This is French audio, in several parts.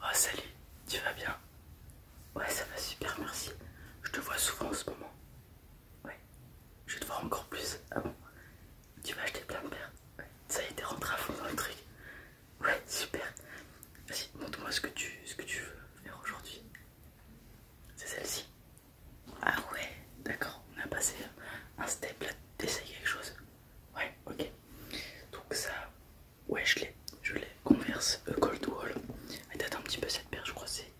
Oh salut, tu vas bien Ouais ça va super merci, je te vois souvent en ce moment. Ouais, je vais te voir encore plus. Ah Tu vas acheter plein de paires ça y est, t'es rentré à fond dans le truc. Ouais, super. Vas-y, montre-moi ce, ce que tu veux faire aujourd'hui. C'est celle-ci. Ah ouais, d'accord, on a passé un step là, t'essayes quelque chose. Ouais, ok. Donc ça, Ouais, je l'ai, je l'ai. Converse euh, Coldwall. Elle date un petit peu cette paire, je crois c'est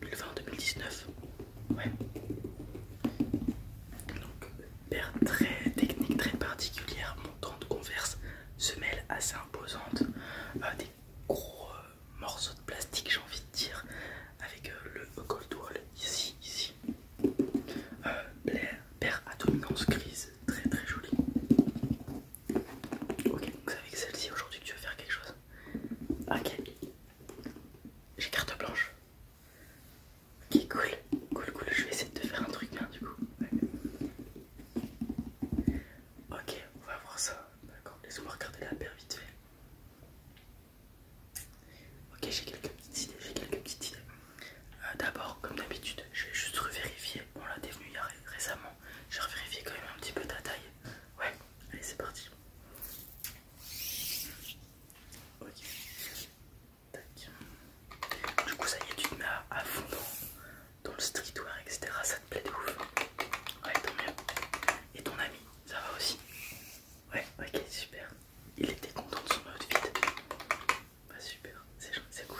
2020, 2019. Ouais. Donc, paire très technique, très particulière, montante, converse, semelle assez imposante, des gros euh, morceaux de plastique, j'ai envie de dire, avec euh, le Cold ici, ici. paire à dominance grise très très joli. Ok, donc c'est avec celle-ci aujourd'hui que tu veux faire quelque chose. Ok, j'ai carte blanche. Ok, cool, cool, cool. Je vais essayer de te faire un truc bien du coup. Ok, on va voir ça. D'accord, laisse-moi regarder la paire vite fait. Ok, j'ai quelques petites idées, j'ai quelques petites idées. Euh, d'abord, comme d'habitude, je vais juste revérifier. On l'a y a... récemment. J'ai revérifié quand même un petit peu ta taille. Ouais, allez, c'est parti. Ok. Tac. Du coup, ça y est, tu te mets à, fond dans, dans le streetwear, etc. Ça te plaît de ouf. Ouais, tant mieux. Et ton ami, ça va aussi Ouais, ok, super. Il était content de son outfit pas super, c'est juste c'est cool.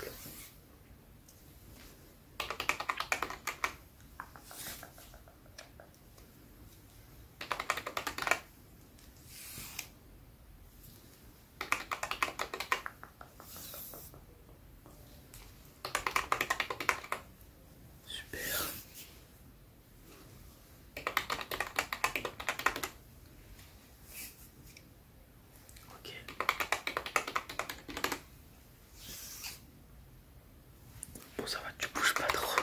Ok. Bon, ça va, tu bouges pas trop.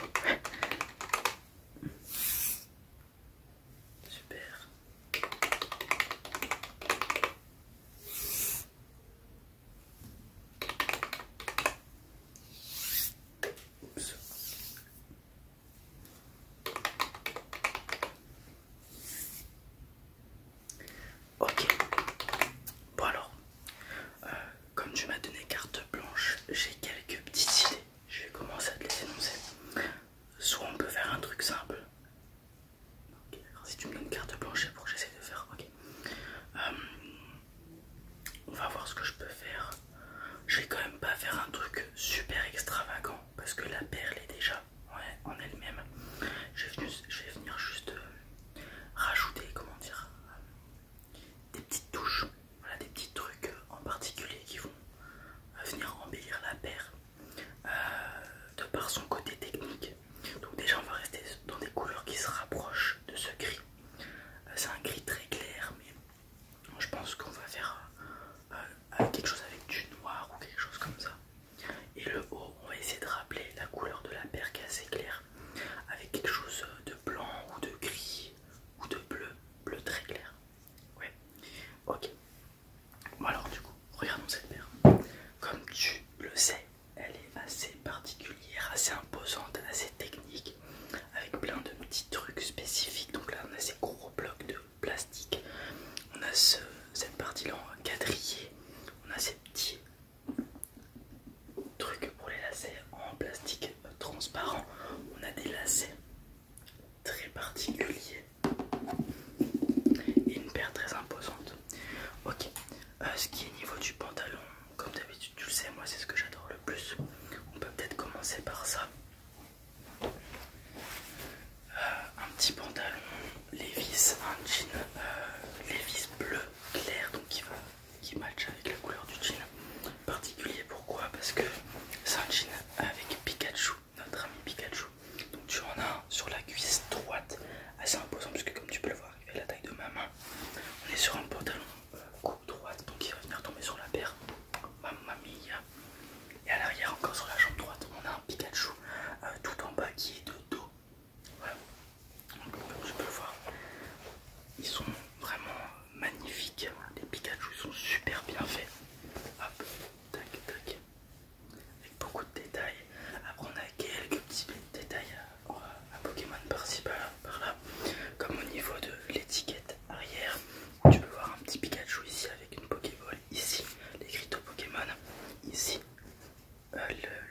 Super. Ok, bon alors, euh, comme tu m'as donné carte blanche, j'ai quelques petites idées. Je vais commencer à te les énoncer. Soit on peut faire un truc simple. si tu me donnes carte blanche, pour que j'essaie de faire. Ok. Euh, on va voir ce que je peux faire. Je vais quand même pas faire un truc super extravagant parce que la perle est déjà en elle même. Je vais venir, juste euh, rajouter, comment dire, des petites touches, des petits trucs euh, en particulier qui vont euh, venir embellir la paire de par son côté technique. Donc déjà, on va rester dans des couleurs qui se rapprochent de ce gris. C'est un gris très clair, mais je pense qu'on va faire avec euh, quelque chose avec du noir ou quelque chose comme ça. Et le haut, on va essayer de rappeler la couleur de la paire qui est assez claire, avec quelque chose de blanc ou de gris ou de bleu, bleu très clair. Ouais, ok. Bon, alors, du coup, regardons cette paire. Comme tu le sais, elle est assez particulière, assez imposante, assez technique, avec plein de petits trucs spécifiques. Donc là, on a ces gros blocs de plastique. On a cette partie-là en quadrillé. On a ces petits trucs pour les lacets en plastique transparent. On a des lacets très particuliers et une paire très imposante. Ok, euh, ce qui est niveau du pantalon, comme d'habitude, tu le sais, moi c'est ce que j'adore le plus. On peut peut-être commencer par ça un petit pantalon Lévis un jean euh, Lévis bleu clair donc qui va qui match avec la couleur du jean particulier pourquoi parce que c'est un jean avec Pikachu notre ami Pikachu donc tu en as sur la cuisse droite assez imposant parce que comme tu peux le voir il la taille de ma main on est sur un pantalon euh, coupe droite donc il va venir tomber sur la paire Mamma mia et à l'arrière, encore sur la jambe droite, on a un Pikachu euh, tout en bas qui est de dos. Voilà. comme peux le voir, ils sont vraiment magnifiques. Les Pikachu sont super bien faits. Hop, tac, tac. Avec beaucoup de détails. Après, on a quelques petits détails un euh, Pokémon par-ci, par-là, par là. comme au niveau de l'étiquette arrière. Tu peux voir un petit Pikachu ici avec une Pokéball ici les crypto Pokémon. Ici, euh,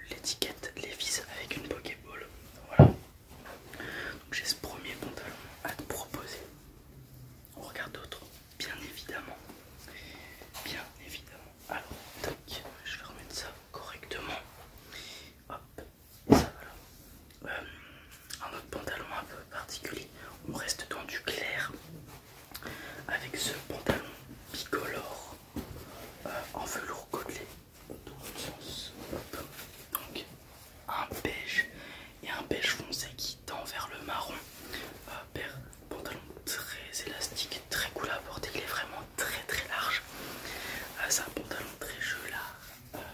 l'étiquette les avec une Pokéball. Voilà. Donc j'ai ce premier pantalon à te proposer. On regarde d'autres, bien évidemment. Bien évidemment. Alors, je vais remettre ça correctement. Hop, ça voilà. Euh, un autre pantalon un peu particulier. On reste dans du clair avec ce pantalon bicolore euh, en velours côtelé sens. Donc un beige et un beige foncé qui tend vers le marron. Euh, pantalon très élastique, très cool à porter, il est vraiment très très large. Euh, c'est un pantalon très gelard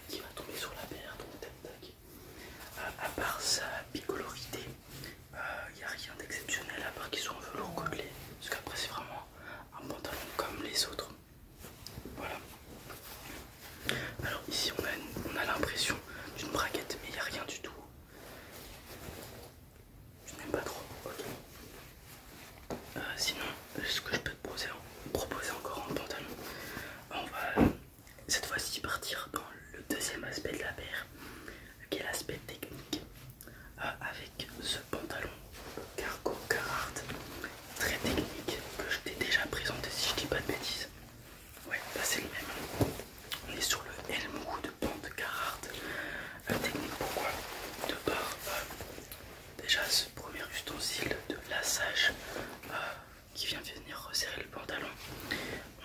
qui va tomber sur la paire, donc à part sa bicolorité, il bah, n'y a rien d'exceptionnel à part qu'ils sont en velours côtelé. Parce qu'après, c'est vraiment un pantalon comme les autres. Voilà. Alors, ici, on a, a l'impression d'une braquette, mais il n'y a rien du tout. Je n'aime pas trop. Euh, sinon, ce que je peux te proposer encore en pantalon, on va cette fois-ci partir dans le deuxième aspect de la paire quel l'aspect technique euh, avec ce pantalon cargo Carhartt très technique que je t'ai déjà présenté si je dis pas de bêtises. Ouais, bah, c'est le même. On est sur le de Pant Carhartt. Art euh, technique pourquoi De par euh, déjà ce premier ustensile de lassage qui vient de venir resserrer le pantalon.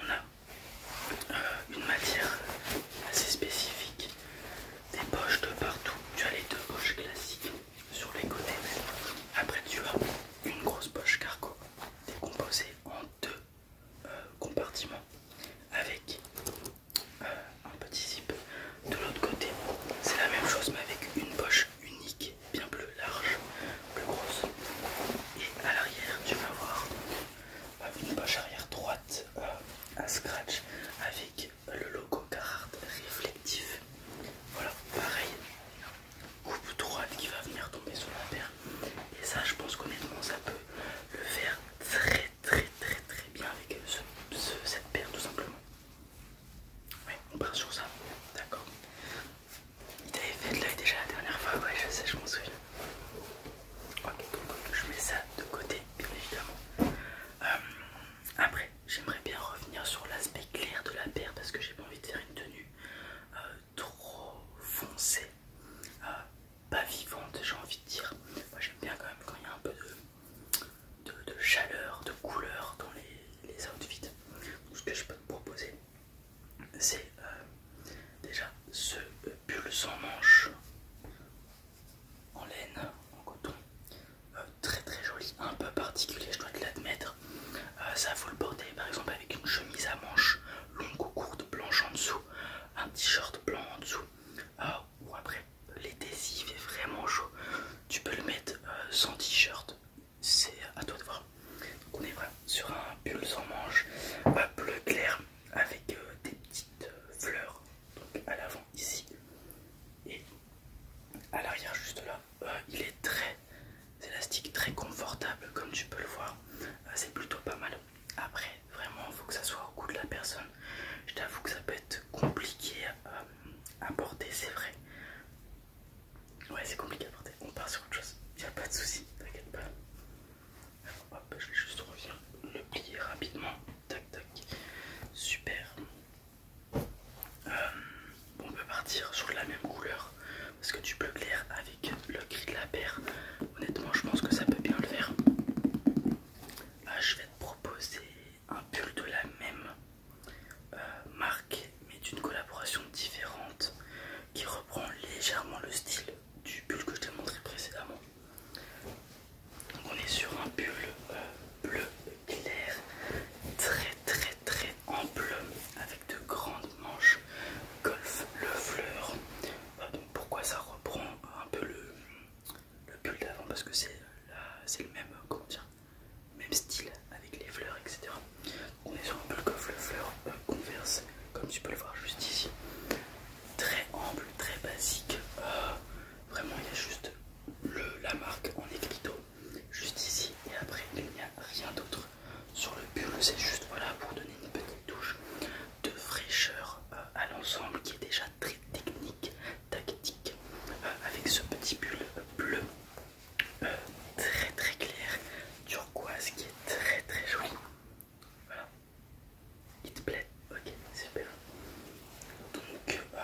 On a une matière assez spécifique, des poches de partout. Tu as les deux poches classiques sur les côtés Après tu as une grosse poche cargo décomposée en deux euh, compartiments avec euh, un petit zip. De l'autre côté, c'est la même chose mais avec une poche unique, bien plus large, plus grosse. Et à l'arrière, tu vas voir une poche arrière droite à euh, scratch avec le logo Carhartt réflectif. Voilà, pareil, coupe droite qui va venir tomber sur la paire. Et ça, je pense qu'honnêtement, ça peut le faire très très très très bien avec cette paire tout simplement. Ouais, on part sur ça, d'accord. Il t'avait fait de l'œil déjà la dernière fois, ouais, je sais, je m'en souviens. Ok, donc je mets ça de côté, bien évidemment. Euh, après, j'aimerais bien revenir sur l'aspect clair de la paire parce que j'ai pas envie de faire une tenue euh, trop foncée, euh, pas vivante, j'ai envie de dire. Moi, j'aime bien quand même quand il y a un peu de, chaleur, de couleur dans les, les outfits. Donc, ce que je peux te proposer, c'est euh, déjà ce euh, pull sans manche en laine, en coton, euh, très très joli, un peu particulier, je dois te l'admettre. ça, faut le porter par exemple avec une chemise à manches longue ou courte, blanche en dessous, un t-shirt blanc en dessous, ou après l'été, est vraiment chaud, tu peux le mettre sans t-shirt, c'est à toi de voir. Donc, on est vraiment sur un pull sans manches, bleu clair, avec euh, des petites euh, fleurs à l'avant ici et à l'arrière juste là euh, il est très élastique très confortable comme tu peux le voir c'est plutôt pas mal après vraiment il faut que ça soit au goût de la personne je t'avoue que ça peut être compliqué à porter c'est vrai ouais c'est compliqué à porter on part sur autre chose y a pas de souci t'inquiète pas je vais juste revenir le plier rapidement. Tac, tac. Super. Euh, on peut partir sur la même couleur parce que tu bleu clair avec le gris de la paire, honnêtement, je pense que ça peut bien le faire. Ah, je vais te proposer un pull de la même euh, marque mais d'une collaboration différente qui reprend légèrement le style du pull que je t'ai montré précédemment. Donc on est sur un pull euh, bleu clair, très très très ample, avec de grandes manches golf le fleur. Euh, pourquoi ça reprend un peu le, le pull d'avant Parce que c'est le même, comment même style avec les fleurs, etc. On est sur un pull golf le fleur euh, converse, comme tu peux le voir juste ici très ample, très basique. Euh, vraiment, il y a juste le, la marque en écriteau, juste ici, et après, il n'y a rien d'autre sur le pull. C'est juste voilà pour donner une petite touche de fraîcheur euh, à l'ensemble qui est déjà très technique, tactique, euh, avec ce petit bulle bleu très très clair, turquoise qui est très très joli. Il te plaît Ok, super. Donc euh,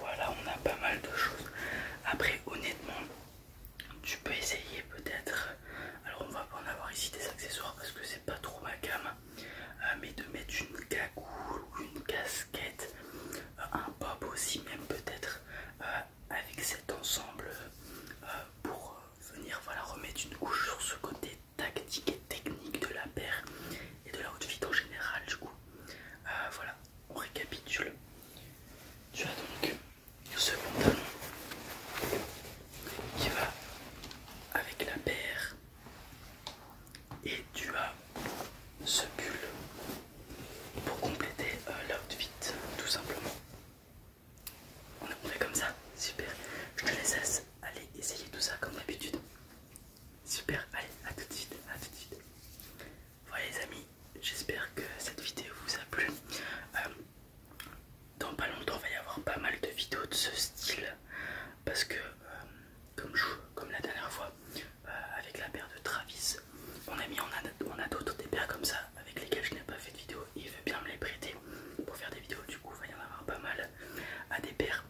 voilà, on a pas mal de choses. Après, honnêtement, tu peux essayer peut-être. Alors, on va pas en avoir ici des accessoires parce que c'est pas trop ma gamme. Euh, mais de mettre une cagoule ou une casquette, euh, un bob aussi, même peut-être avec cet ensemble pour venir voilà, remettre une couche sur ce côté tactique et technique de la paire et de la en général du coup. Euh, voilà, on récapitule. Tu as donc ce pantalon qui va avec la paire et tu as ce pull pour compléter euh, l'outfit tout simplement. On monté comme ça, super. Je te laisse allez, essayer tout ça comme d'habitude. Super, allez, à tout de suite, à tout de suite. Voilà les amis, j'espère que cette vidéo vous a plu. Euh, dans pas longtemps, il va y avoir pas mal de vidéos de ce style. Parce que, euh, comme, la dernière fois, euh, avec la paire de Travis, on a mis on a, d'autres des paires comme ça avec lesquelles je n'ai pas fait de vidéo il veut bien me les prêter pour faire des vidéos. Du coup, il va y en avoir pas mal à des paires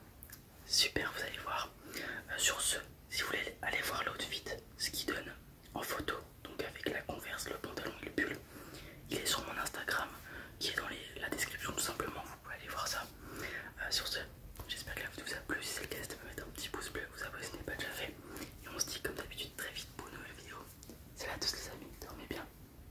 super vous allez voir euh, sur ce si vous voulez aller voir l'outfit ce qu'il donne en photo donc avec la converse le pantalon et le pull il est sur mon instagram qui est dans la description tout simplement vous pouvez aller voir ça euh, sur ce j'espère que la vidéo vous a plu si c'est le cas n'hésitez pas mettre un petit pouce bleu vous abonner si ce n'est pas déjà fait et on se dit comme d'habitude très vite pour une nouvelle vidéo c'est là tous les amis dormez bien